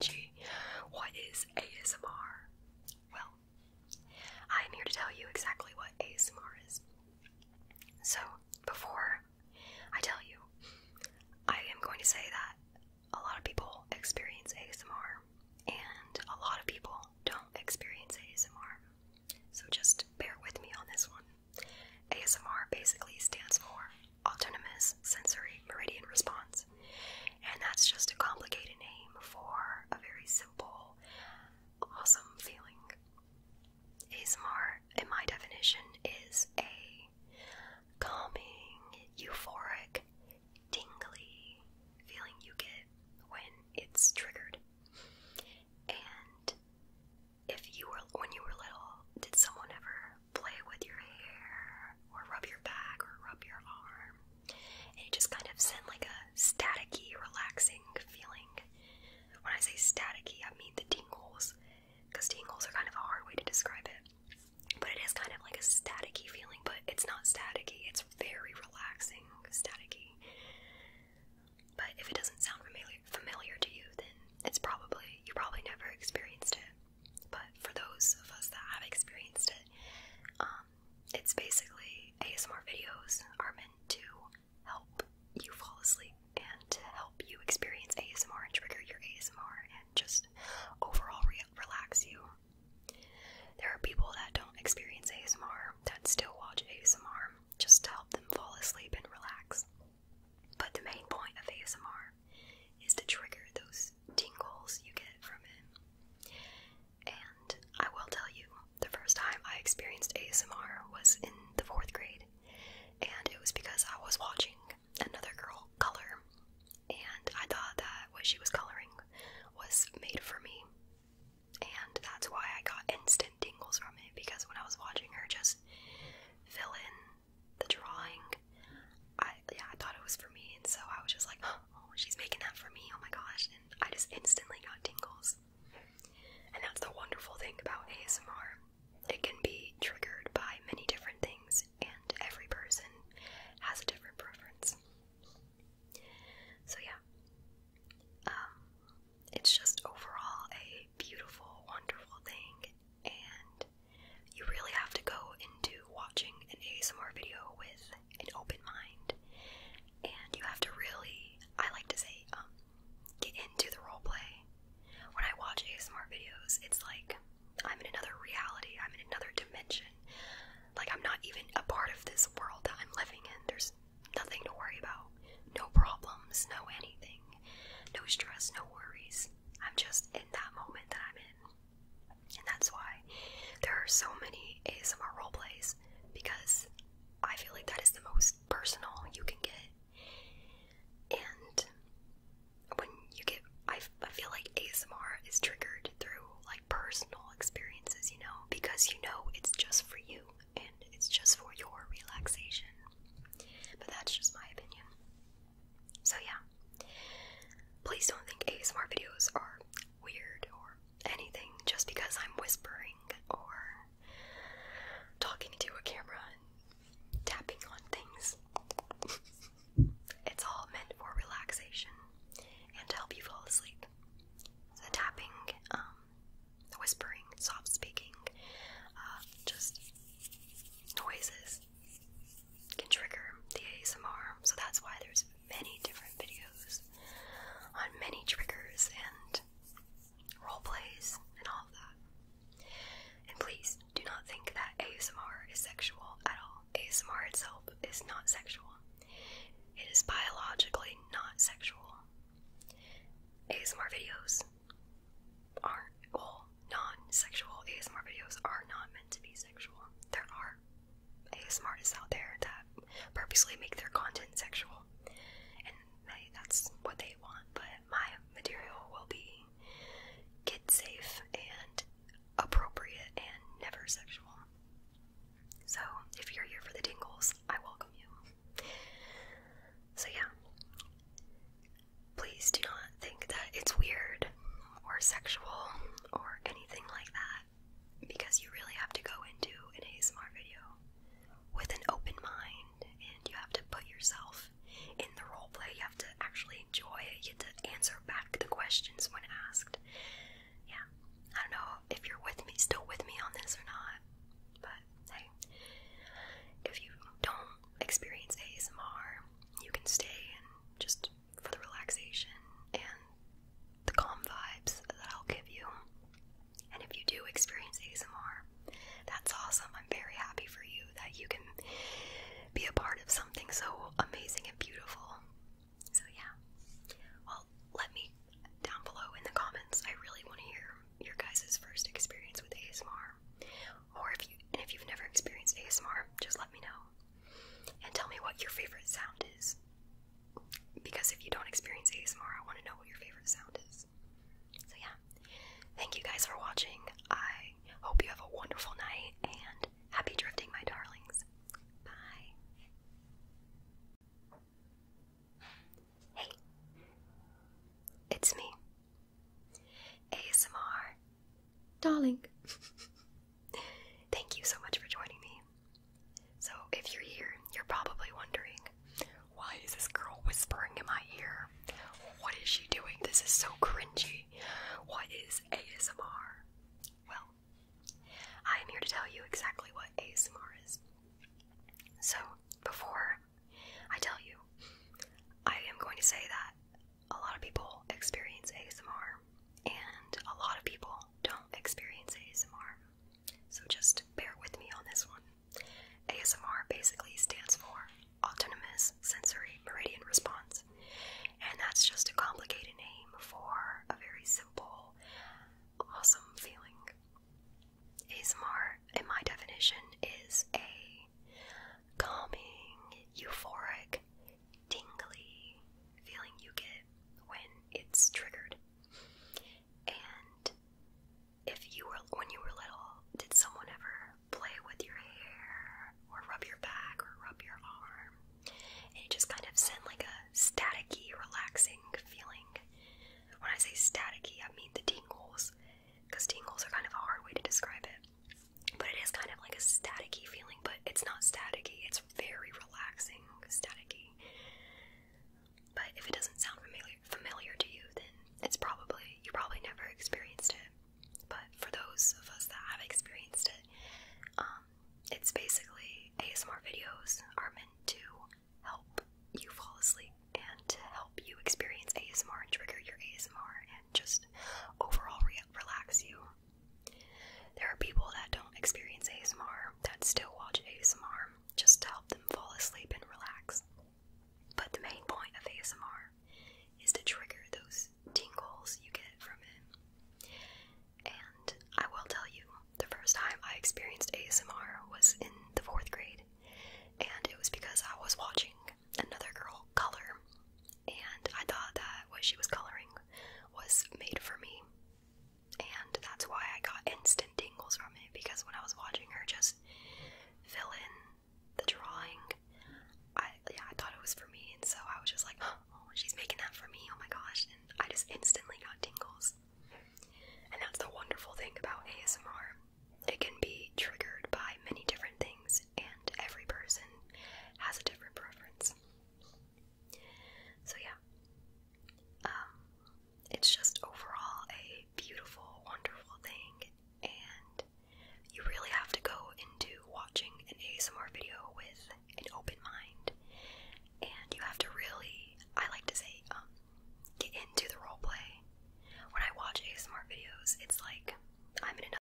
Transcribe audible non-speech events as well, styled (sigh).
Gee, what is ASMR? Well, I am here to tell you exactly what ASMR is. So, before I tell you, I am going to say that a lot of people experience ASMR and a lot of people don't experience ASMR. So, just bear with me on this one. ASMR basically stands for autonomous sensory meridian response. And that's just a complicated name for a very simple, awesome feeling. ASMR, in my definition, is a calming, euphoric, tingly feeling you get when it's triggered. And if you were, when you were little, did someone ever play with your hair, or rub your back, or rub your arm. And it just kind of send like a staticky, relaxing feeling. When I say staticky, I mean the tingles, because tingles are kind of a hard way to describe it. But it is kind of like a staticky feeling, but it's not staticky, it's very relaxing, staticky. But if it doesn't sound familiar familiar to you, then it's probably you probably never experienced it. But for those of us that have experienced it, um, it's basically ASMR videos are meant to help you fall asleep and to help you experience ASMR and trigger your ASMR and just overall relax you. There are people that don't experience ASMR that still watch ASMR just to help them fall asleep and relax. But the main point of ASMR is to trigger those tingles you get from it. And I will tell you, the first time I experienced ASMR was in the fourth grade, and it was because I was watching another girl color, and I thought that what she was coloring was made for me. And that's why I got instant tingles from it because when I was watching her just fill in the drawing. I yeah, I thought it was for me, and so I was just like, (gasps) oh, she's making that for me. Oh my gosh! And I just instantly got tingles. And that's the wonderful thing about ASMR. It can be triggered by many different things, and every person has a different preference. So yeah. Um, it's just overall a beautiful, wonderful thing, and you really have to go into watching an ASMR video with an open mind, and you have to really, I like to say, um, get into the role play. When I watch ASMR videos, it's like I'm in another reality, I'm in another dimension. Like, I'm not even a part of this world that I'm living in. There's nothing to worry about, no problems, no anything, no stress, no worries. I'm just in that moment that I'm in. And that's why there are so many ASMR role plays because I feel like that is the most personal you can get. And when you get, I, I feel like ASMR is triggered through like personal experiences, you know, because you know it's just for you and it's just for your relaxation. But that's just my opinion. So, yeah. Please don't think ASMR videos are weird or anything just because I'm whispering or talking to a camera and tapping on things. it's all meant for relaxation and to help you fall asleep. The tapping, the um, whispering, soft speaking, uh, just noises can trigger the ASMR. So that's why there's many different videos on many triggers and role plays and all of that. And please do not think that ASMR is sexual at all. ASMR itself is not sexual. It is biologically not sexual. ASMR videos aren't well non-sexual ASMR videos are not meant to be sexual. There are ASMR out there that purposely make their content sexual, and that's what they want. But my material will be kid safe and appropriate and never sexual. So if you're here for the tingles, I welcome you. So yeah, Please do not think that it's weird or sexual or anything like that because you really have to go into an ASMR video with an open mind and you have to put yourself in the role play. You have to actually enjoy it. You have to answer back the questions when asked. Yeah, I don't know if you're with me, still with me on this or not, but hey, if you don't experience ASMR, you can stay and just for the relaxation and the calm vibes that I'll give you. And if you do experience ASMR, that's awesome. I'm very happy for you that you can be a part of something so amazing and beautiful. So, yeah. Well, let me down below in the comments. I really want to hear your guys' first experience with ASMR. Or if you and if you've never experienced ASMR, just let me know. And tell me what your favorite sound is. Because if you don't experience ASMR, I want to know what your favorite sound is. So yeah. Thank you guys for watching. I hope you have a wonderful night and happy drifting, my darlings. Bye. Hey. It's me. ASMR darling. (laughs) Thank you so much for joining me. So, if you're here, you're probably wondering why is this girl whispering in my ear? What is she doing? This is so cringy. What is ASMR? Well, I am here to tell you exactly what ASMR is. So, before I tell you, I am going to say that a lot of people experience ASMR, and a lot of people don't experience ASMR. So just bear with me on this one. ASMR basically stands for Autonomous Sensory Meridian Response, and that's just a complicated name for a very simple, awesome feeling. ASMR, in my definition, is a calming, euphoric, tingly feeling you get when it's triggered. And if you were when you were little, did someone ever play with your hair or rub your back or rub your arm? And it just kind of sent like a staticky, relaxing feeling. When I say staticky, I mean the tingles, because tingles are kind of a hard way to describe it but it is kind of like a staticky feeling, but it's not staticky. It's very relaxing, staticky. But if it doesn't sound familiar familiar to you, then it's probably you probably never experienced it. But for those of us that have experienced it, um, it's basically ASMR videos are meant to help you fall asleep and to help you experience ASMR and trigger your ASMR and just overall relax you. There are people that don't experience ASMR that still watch ASMR just to help them fall asleep and relax. But the main point of ASMR is to trigger those tingles you get from it. And I will tell you, the first time I experienced ASMR was in the fourth grade, and it was because I was watching another girl color and I thought that what she was coloring was made for me, and that's why I got instant tingles from it because when I was watching her just fill in the drawing, I yeah I thought it was for me, and so I was just like, oh, she's making that for me, oh my gosh, and I just instantly got tingles, and that's the wonderful thing about ASMR. It can be triggered by many different things, and every person has a different preference. So, yeah, um, it's just overall a beautiful, wonderful thing, and you really have to go into watching an ASMR video with an open mind, and you have to really, I like to say, um, get into the role play. When I watch ASMR videos, it's like I'm in another.